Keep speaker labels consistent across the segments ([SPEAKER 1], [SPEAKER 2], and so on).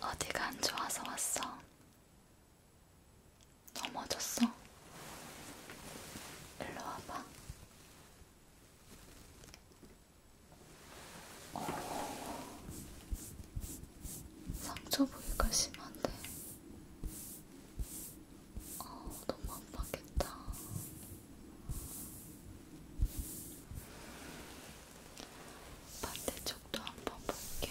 [SPEAKER 1] 어디가 안 좋아서 왔어? 넘어졌어? 일로 와봐. 오. 상처 부위가 심한데 어, 너무 아팠겠다. 반대쪽도 한번 볼게.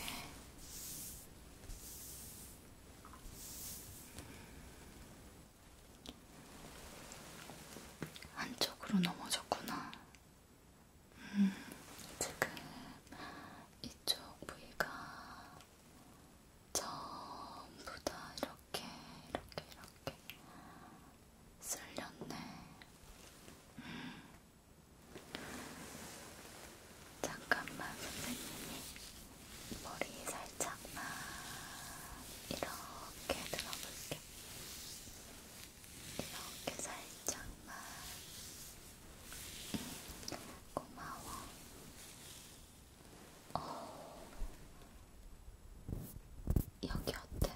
[SPEAKER 1] 한쪽으로 넘어졌구나. 음, 지금 이쪽 부위가 전부 다 이렇게 이렇게 이렇게 쓸렸네. 음. 잠깐만 선생님이 머리 살짝만 이렇게 들어볼게. 이렇게 살짝만 음, 고마워. 어. 여기 어때?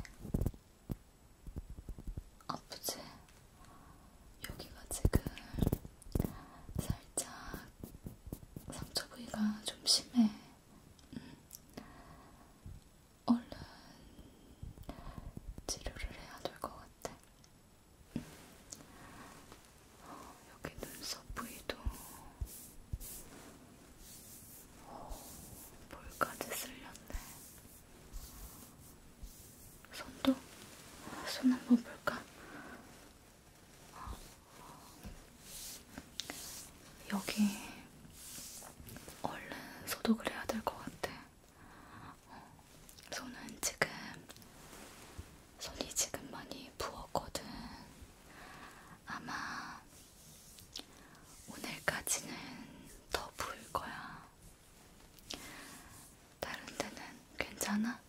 [SPEAKER 1] 아프지? 여기가 지금 살짝 상처 부위가 좀 심해. 음. 얼른 치료를 해야 될 것 같아. 어, 여기 눈썹 부위도 어, 볼까지 쓸렸네. 손도 손 한번 볼까? 어, 여기 얼른 소독을 해야 될 것 같아. 손은 지금 손이 지금 많이 부었거든. 아마 오늘까지는 더 부을 거야. 다른 데는 괜찮아?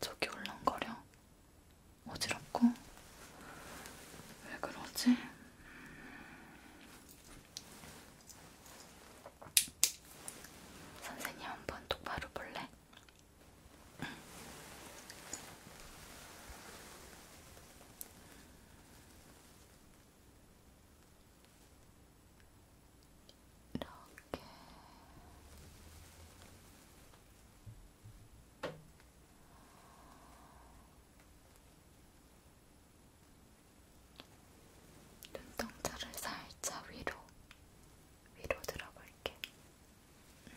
[SPEAKER 1] 저기 울렁거려? 어지럽고? 왜 그러지? 선생님 한번 똑바로 볼래? 이렇게 이렇게 눈동자를 살짝 위로, 위로 들어볼게. 음.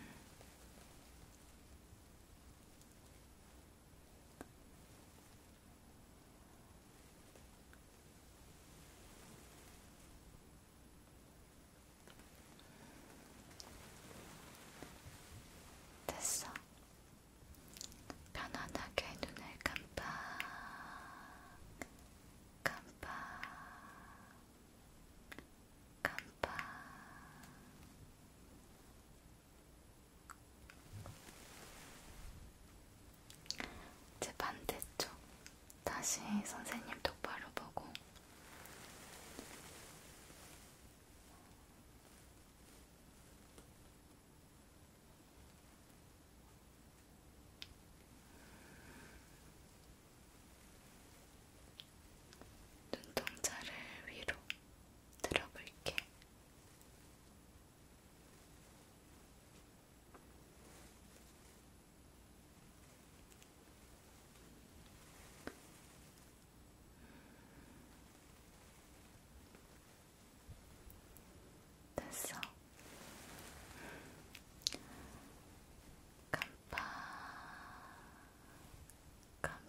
[SPEAKER 1] 됐어. 편안하게 눈을 깜빡 깜빡 깜빡 이제 반대쪽 다시 선생님 똑바로 보고 눈동자를 위로 들어볼게. 됐어. 깜빡, 깜빡,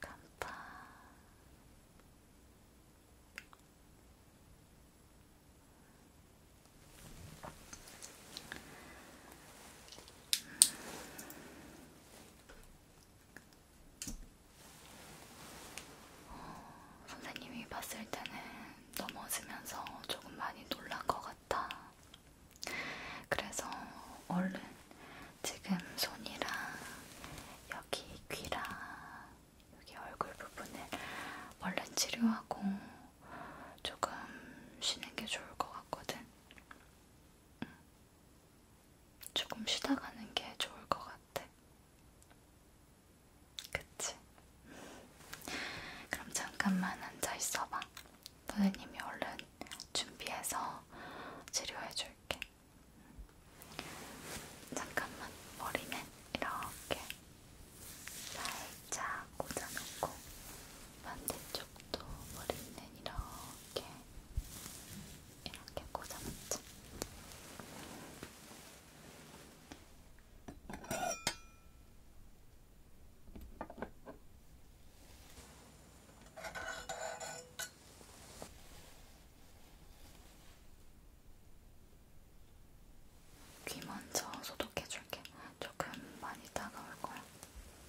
[SPEAKER 1] 깜빡. 음. 어, 선생님이 봤을 때는 넘어지면서 조금 많이 놀란 것 같아. 그래서 얼른 지금 손이랑 여기 귀랑 여기 얼굴 부분을 얼른 치료하고 조금 쉬는 게 좋을 것 같거든. 조금 쉬다 가는 게 좋을 것 같아. 그치? 그럼 잠깐만 앉아 있어봐. 선생님이 얼른 준비해서 치료해줄게. 잠깐만 머리는 이렇게 살짝 꽂아놓고 반대쪽. 이쪽도 머리는 이렇게 이렇게 꽂아놓자. 귀 먼저 소독해줄게. 조금 많이 따가울 거야.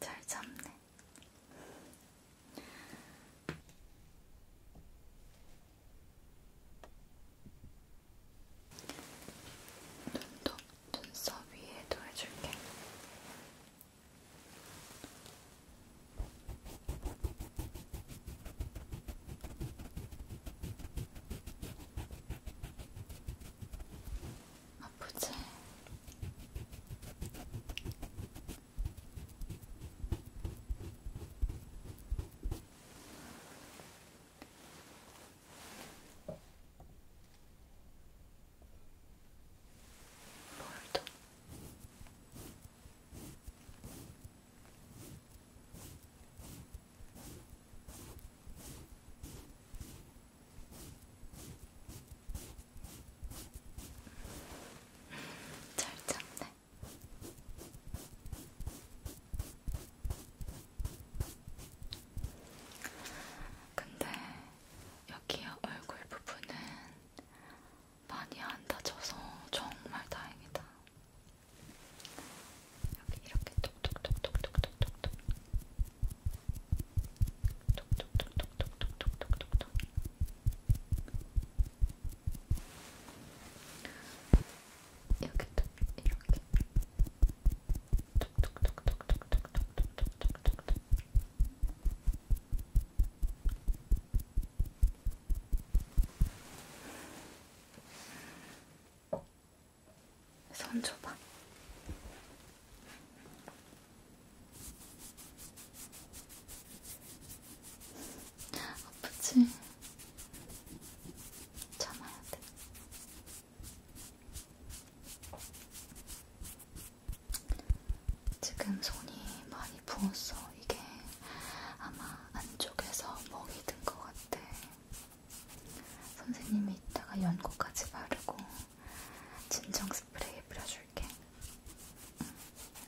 [SPEAKER 1] 잘 잡네. 눈도 눈썹 위에도 해줄게. 아프지? 볼도 잘 참네. 근데 여기 얼굴 부분은 많이 안 다져서 정말 다행이다. 여기 이렇게 톡톡톡톡톡톡톡톡 톡톡톡톡톡톡톡톡 여기도 이렇게 톡톡톡톡톡톡톡톡톡톡톡 어? 손 줘봐. 아프지? 참아야 돼. 지금 손이 많이 부었어. 이게 아마 안쪽에서 멍이 든 것 같아. 선생님이 이따가 연고까지 바르고 진정 스프레이 뿌려줄게.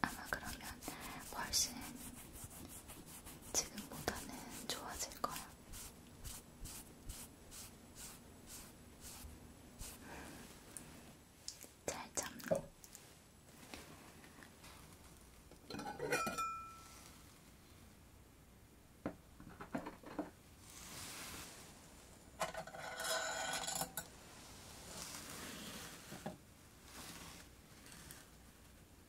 [SPEAKER 1] 아마 그러면 훨씬 지금보다는 좋아질 거야. 음, 잘 잠네.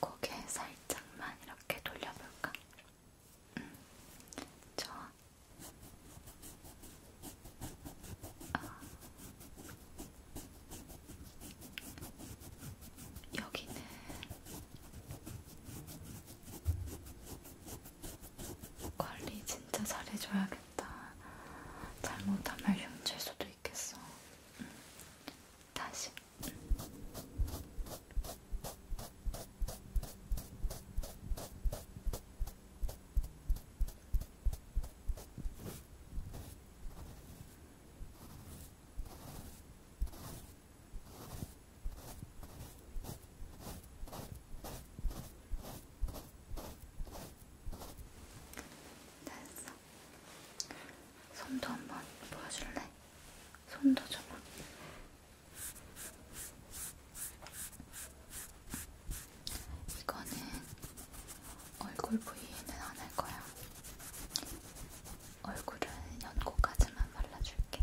[SPEAKER 1] 고개 살짝만 이렇게 돌려볼까? 음, 좋아. 아. 여기는 관리 진짜 잘해줘야겠다. 잘못하면 흉질 수도 있겠어. 응. 음. 다시. 응. 응. 됐어. 손도 한 번 보여줄래? 손도 줘봐. 이거는 얼굴 부위에는 안 할 거야. 얼굴은 연고까지만 발라줄게.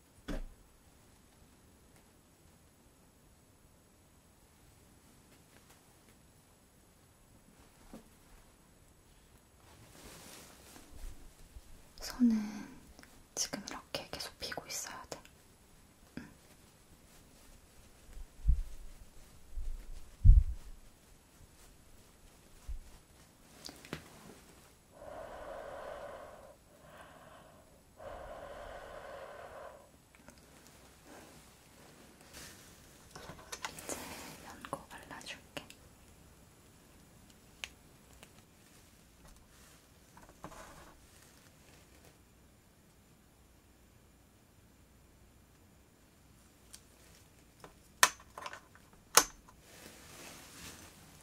[SPEAKER 1] 손은 지금 이렇게 계속 피고 있어야 돼. 응. 이제 연고 발라줄게.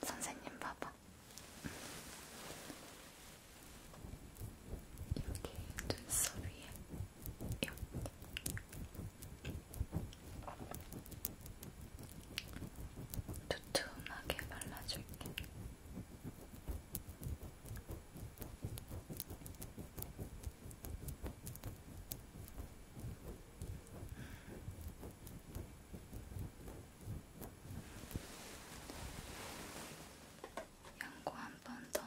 [SPEAKER 1] 선생님 봐봐. 여기 눈썹 위에 여기. 두툼하게 발라줄게. 음. 양고 한 번 더.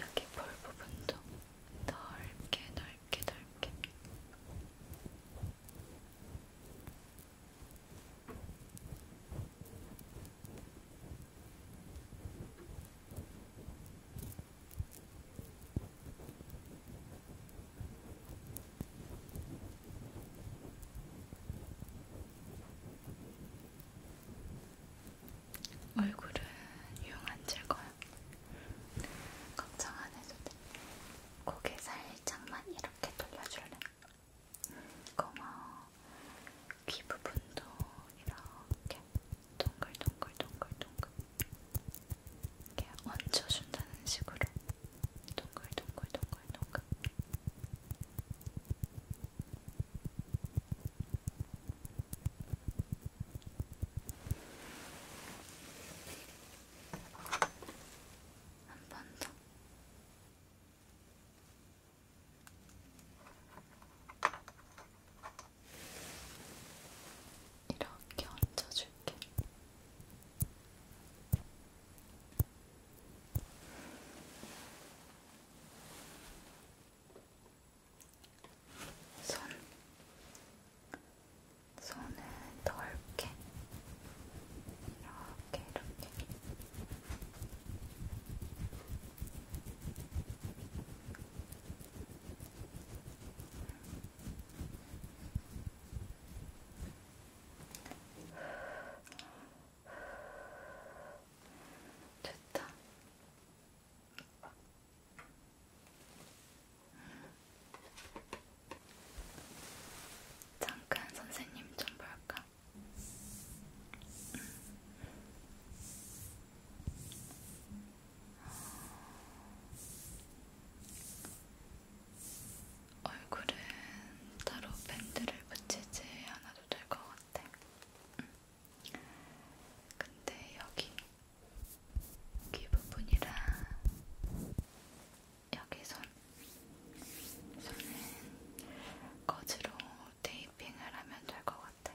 [SPEAKER 1] 여기 볼 부분도 넓게 넓게 넓게 얼굴은 유용 안 질거야. 걱정 안 해도 돼. 고개 살짝만 이렇게 돌려줄래? 고마워. 귀 부분도 이렇게 동글동글동글동글 이렇게 얹어준다는 식으로 동글동글동글동글 한번 더. 이렇게 얹어줄게. 손, 손은 넓게 이렇게 이렇게. 됐다. 잠깐 선생님 좀 볼까? 음. 얼굴은 따로 밴드를 붙이지 않아도 될 것 같아. 근데 여기 귀 부분이랑 여기 손 손은 거즈로 테이핑을 하면 될 것 같아.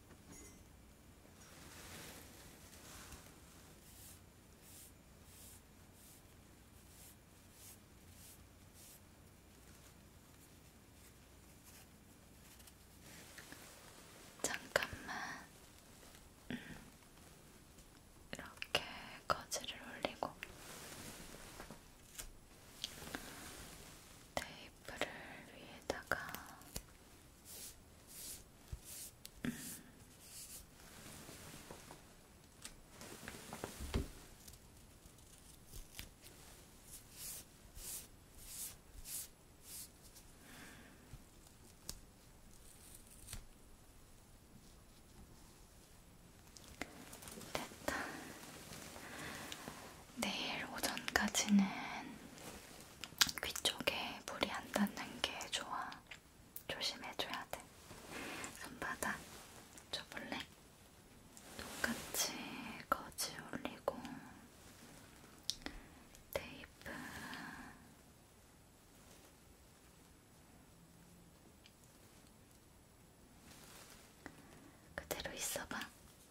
[SPEAKER 1] 잠깐만 음. 이렇게 거즈를 올리고 테이프를 위에다가 됐다. 내일 오전까지는 귀 쪽에 물이 안 닿는 게 좋아. 조심해줘야 돼. 손바닥 줘볼래? 똑같이 거지 올리고 테이프 그대로 있어봐.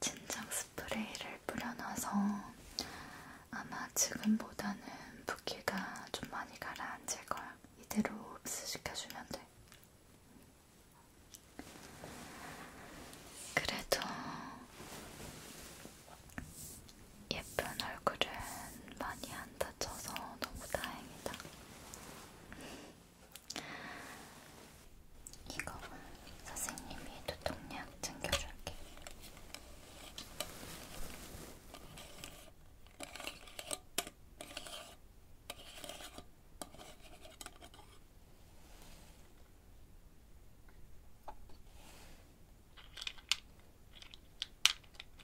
[SPEAKER 1] 진정 스프레이를 뿌려놔서 아마 지금보다는 붓기가 좀 많이 가라앉을 거야. 이대로 흡수시켜주면 돼. 그래도 예쁜 얼굴은 많이 안 다쳐서 너무 다행이다. 이거 선생님이 두통약 챙겨줄게.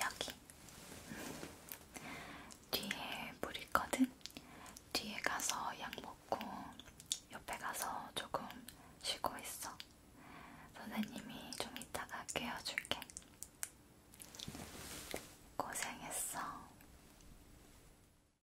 [SPEAKER 1] 여기 뒤에 물 있거든? 뒤에 가서 약 먹고 옆에 가서 조금 쉬고 있어. 선생님이 좀 이따가 깨워줄게. 고생했어.